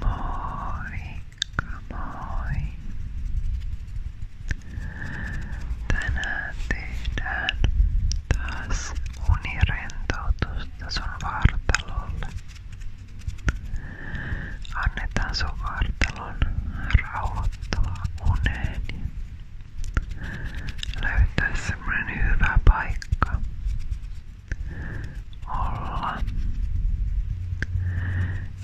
Moikka moi! Tänään tehdään taas unirentoutusta sun vartalolle. Annetaan sun vartalon rauhoittaa uneen. Löytää semmonen hyvä paikka, olla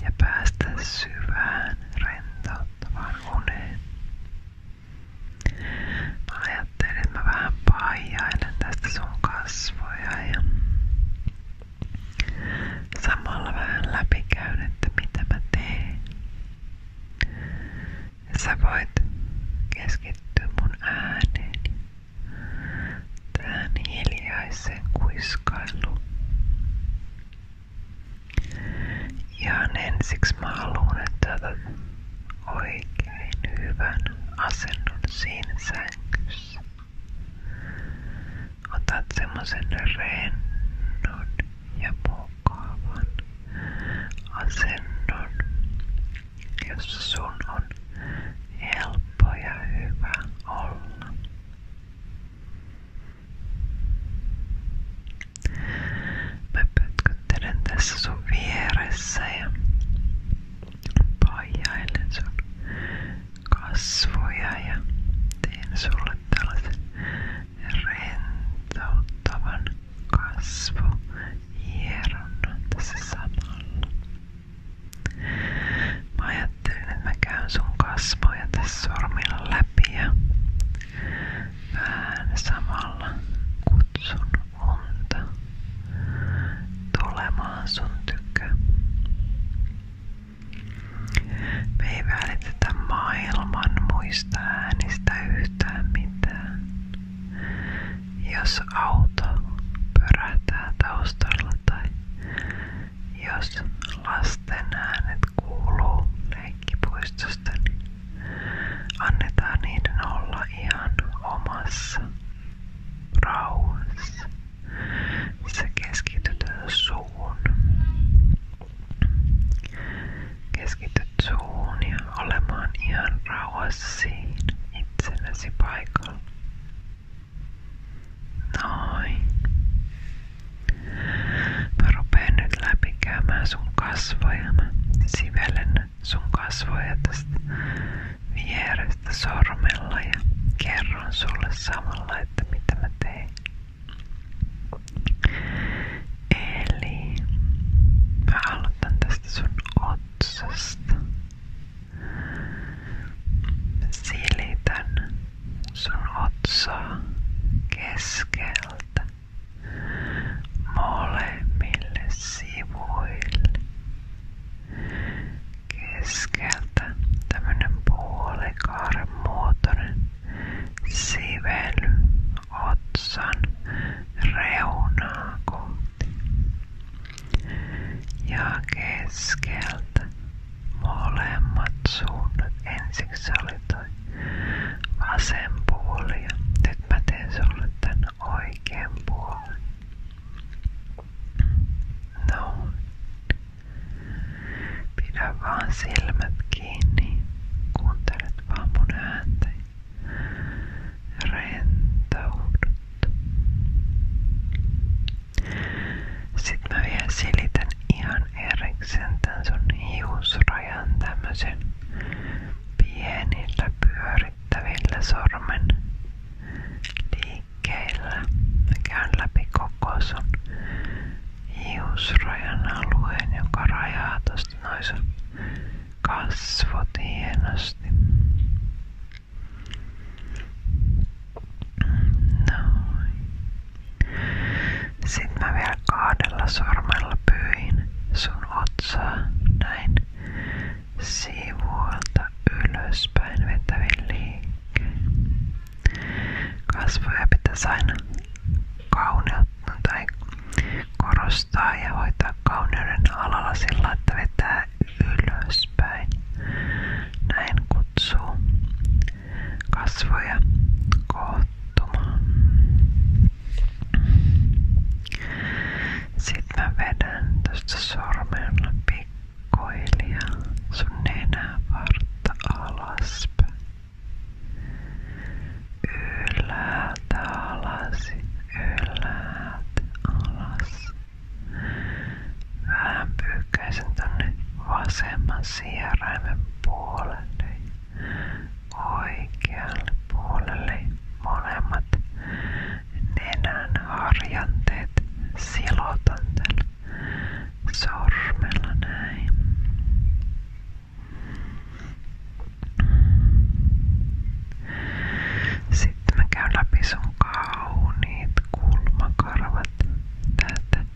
ja päästä syvään rentouttavaan uneen. Mä ajattelin, että mä vähän paijailen tästä sun kasvoja ja samalla vähän läpikäyn, että mitä mä teen. Ja sä voit keskittyä mun ääneeni tähän hiljaiseen kuiskailuun. Ihan ensiksi mä haluan, että otat oikein hyvän asennon siinä sängyssä. Otat semmosen rennon ja mukavan asennon, jossa sun on helppo ja hyvä olla. Mä pötköttelen tässä sun vieressä ja paijailen sun kasvoja ja teen sulle tällaisen rentouttavan kasvo hieronnan tässä samalla. Mä ajattelin, että mä käyn sun kasvoja tässä sormilla läpi ja vähän samalla kutsun unta tulemaan sun tykö. Me ei välitetä maailman muista äänistä yhtään mitään. Jos auto pörähtää taustalla tai jos lasten äänet kuuluu leikkipuistosta, niin annetaan niiden olla ihan omassa rauhassa. Sä keskityt suun. Keskityt suun ja olemaan ihan rauhassa siinä itsellesi paikalla. Noin. Mä rupeen nyt läpikäymään sun kasvoja. Mä sivelen sun kasvoja tästä vierestä sormella ja kerron sulle samalla, että mitä mä tein. Eli mä aloitan tästä sun otsasta. Silitän sun otsaa keskeltä molemmille sivuille. Keskeltä tämmönen puolikaaren muotoinen sively otsan reunaa kohti. Ja molemmat suunnat. Ensiksi se oli toi vasen puoli ja puolen. No. Pidä vaan silmät kiinni. Kuuntelet vaan mun ääntäni rentoudut. Sitten mä vielä selitän ihan erikseen tän sun hiusrajan tämmösen pienillä pyörittävillä sormen liikkeillä. Mä käyn läpi koko sun hiusrajan alueen, joka rajaa tosta noin sun kasvot hienosti. Noin. Sitten mä vielä kahdella sormella pyin sun otsaa näin sivuolta ylöspäin vetävin liikkeen. Kasvoja pitäisi aina kauneutta tai korostaa ja hoitaa kauneuden alalla sillä, että vetää Näin kutsuu kasvoja koottumaan. Sitten mä vedän tästä sormella pikkuhiljaa sun alaspäin. Ylhäältä ylhäältä alas. Vähän pyyhkäisen tänne vasemman sieraimen puolelle oikealle puolelle molemmat nenän harjanteet silotan tällä sormella näin. Sitten mä käyn läpi sun kauniit kulmakarvat täältä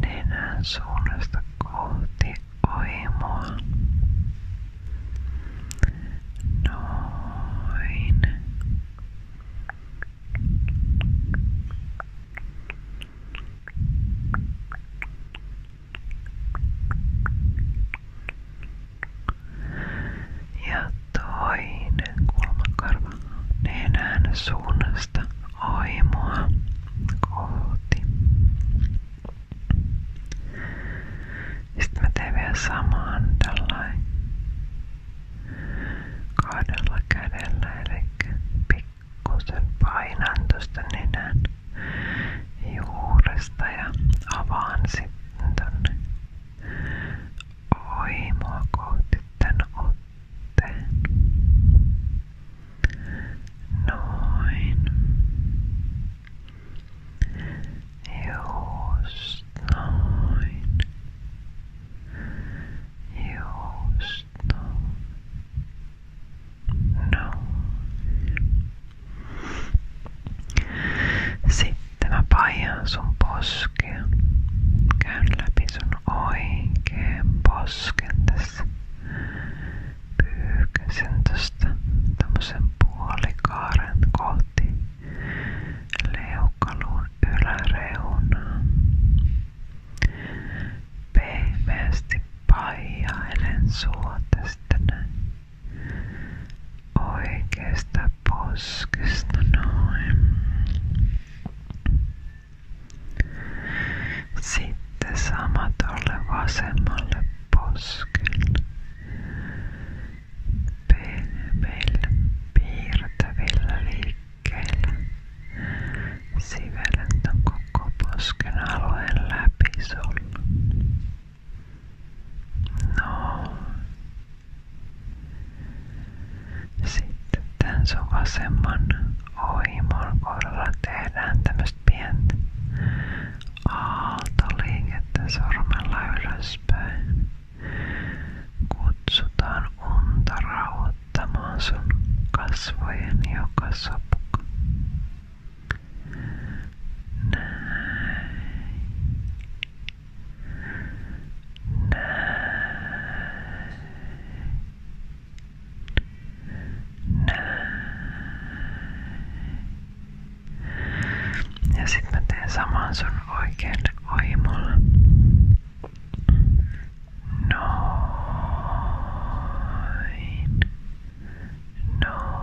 nenän suunnasta kohti oimoa. Noin. Ja toinen kulmakarva nenän suunnasta aimoa kohti. Sitten mä teen vielä samaan tällainen kahdella kädellä, eli pikkusen painan tuosta nenän juuresta ja avaan sitten tonne oimoa kohti tän otteen. Noin. Just noin. Just noin. Noin. Sitten mä paihan sun poskea. Käyn läpi sun oikeen posken tässä. Pyyhkäsen tosta tämmösen puolikaaren kohti leukaluun yläreunaa. Pehmeästi paijailen sua tästä näin oikeasta poskesta noin. Sitten sama tuolle vasemmalle poskelle. Pehmeillä piirtävillä liikkeillä sivelet on koko posken alueen läpi sulla. No. Sitten tämän sun vasemman oimon kohdalla tehdään tämmöistä pientä aaltoliikettä sormella ylöspäin. Kutsutaan unta rauhoittamaan sun kasvojen joka sopka. Näin. Näin. Näin. Ja sitten mä teen saman sun oikealle oimolle. Noin. Noin.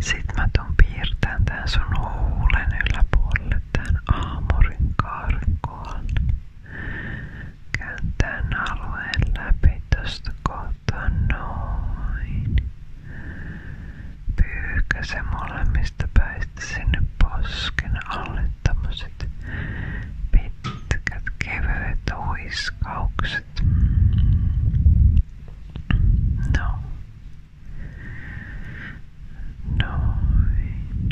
Sitten mä tuun piirtämään tän sun huulen yläpuolelle tän aamurin karkoon. Käyn tän alueen läpi tosta kohtaa noin. Pyyhkä se molemmista päistä sinne posken alle tämmöset pitkät kevyet huiskaukset. No. Noin.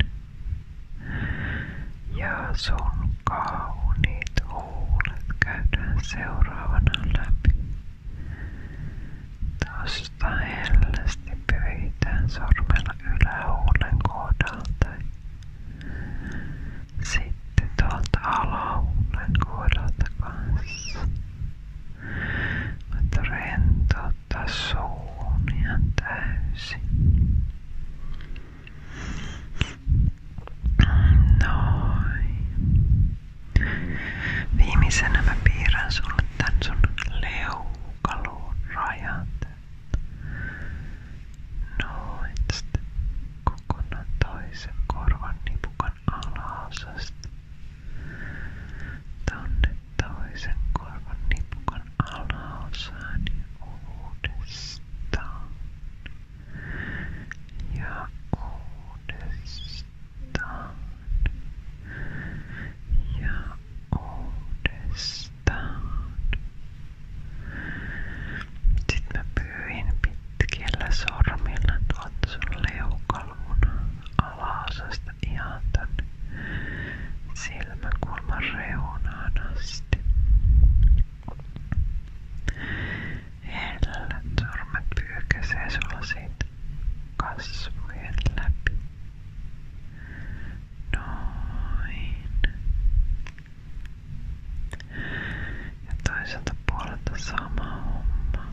Ja sun kauniit huulet käydään seuraavana läpi. Tosta hellästi pyyhitään sormella ylähuulen kohdalta. Sitten tuolta alahuulen kohdalta kanssa. Voit rentouttaa suun ihan täysin. Noin. Viimeisenä mä piirrän sulle tän sun leukaluun rajat. Noin. Sitten kokonaan toisen korvan nipukan kurkun alhaisesti tonne toisen korvan nipukon alhaosaan ja uudestaan ja uudestaan ja uudestaan. Sitten mä pyyhin pitkillä sormilla päästä ihan tänne silmäkulman reunaan asti. Hellet sormet pyykäsee sulla siitä kasvojen läpi. Noin. Ja toiselta puolelta sama homma.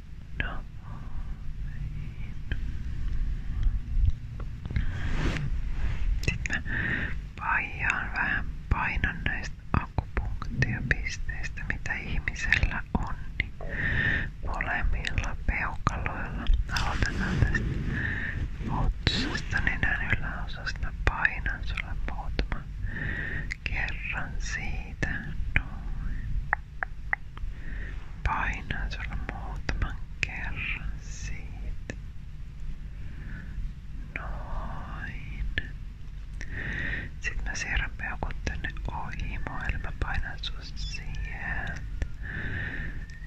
Sitten mä paijaan vähän painon näistä akupunktiopisteistä, mitä ihmisellä on, niin molemmilla peukaloilla. Aloitetaan tästä otsasta, nenän yläosasta painan sulle muutama kerran siitä. Noin. Painaa sulla muutaman kerran siitä. Noin. Sitten mä siirrän peukut tänne ohimoon, eli mä painan sut siihen.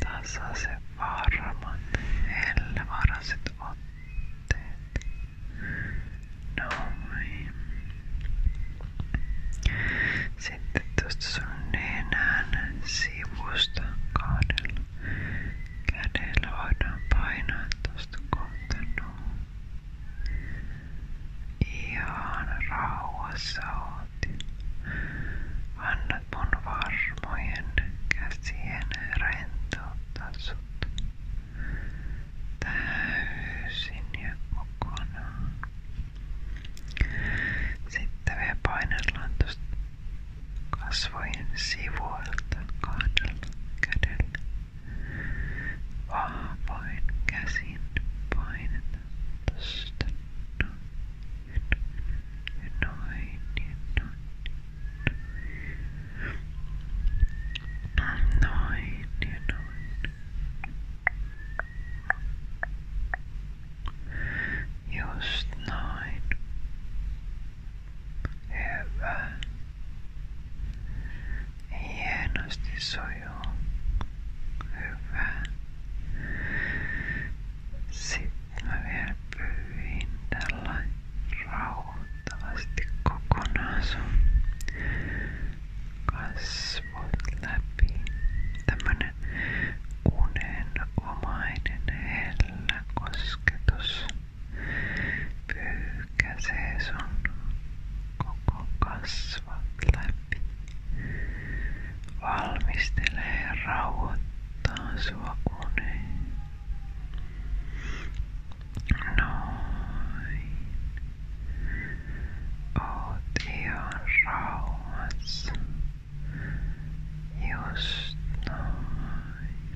Tasaisen varman, hellävaraiset otteet. Noin. Sitten tuosta sun nenän sivusta kahdella kädellä voidaan painaa tuosta kohta noin. Ihan rauhassa oot. Annat mun varmojen käsien rentouttaa sut täysin ja kokonaan. Sitten vielä painellaan tuosta kasvojen sivuilta kahdella kädellä. Vahvoin käsin painetaan tuosta noin ja noin ja noin. Noin ja noin. Just noin. Hyvä. Hienosti sujuu. Hyvä. Sitten mä vielä pyyhin tällä rauhoittavasti kokonaan sun kasvot läpi. Tämmönen unenomainen hellä kosketus pyyhkäsee sun koko kasvot läpi. Valmistelee ja rauhoittaa sua uneen. Noin. Oot ihan rauhassa. Just noin.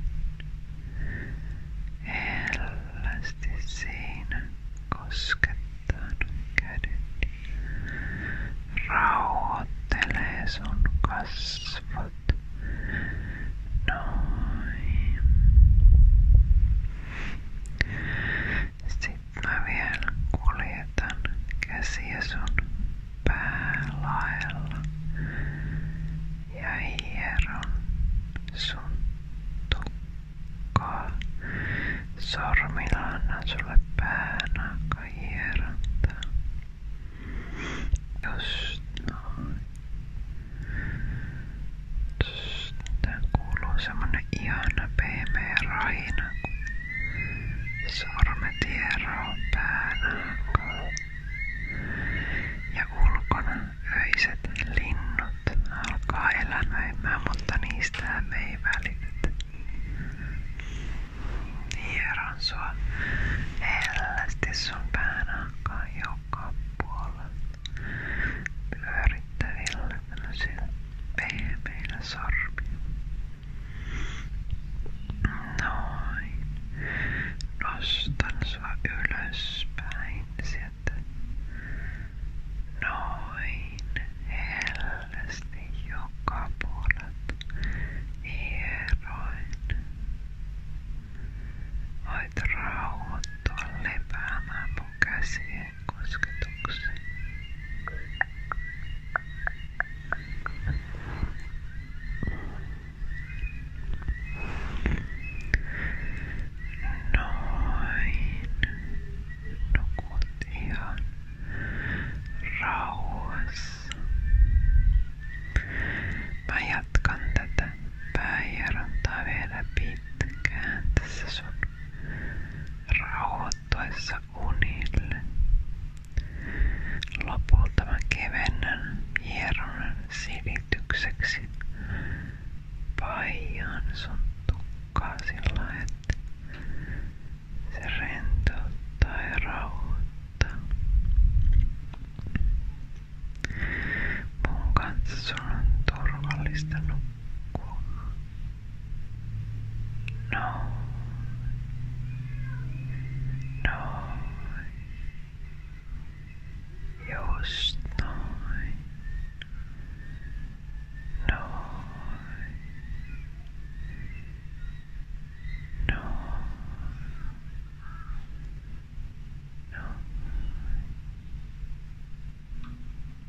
Hellästi siinä koskettanut kädet. Rauhoittelee sun kasvot. Noin. Sitten mä vielä kuljetan käsiä sun päälaella ja hieron sun tukkaa. Sormilla annan sulle pään aika hierontaa. Just noin. Just Tähän kuuluu semmonen ihana pehmeä raina, kun sormet hieroo Ja ulkona öiset linnut alkaa elämöimään, mutta niistä me ei välitetä. Hieron hellästi sun päänahkaa joka puolella pyörittävillä tämmöisillä Tee Noin. Nostan sua ylöspäin Noin. Hellästi joka puolelta. Hieroin. Voit rauhoittua lepäämään käden kosketukseen. Noin. Nukut ihan rauhassa. Mä jatkan tätä päähierontaa vielä pitkään tässä sun rauhoittavassa istuessa unille. Lopulta mä kevennän hieronnan silitykseksi paijan sun tukkaa sillä, että se rentouttaa ja rauhoittaa. Mun kanssa sun on turvallista nukkua. No. No. Jostein. No. No. No.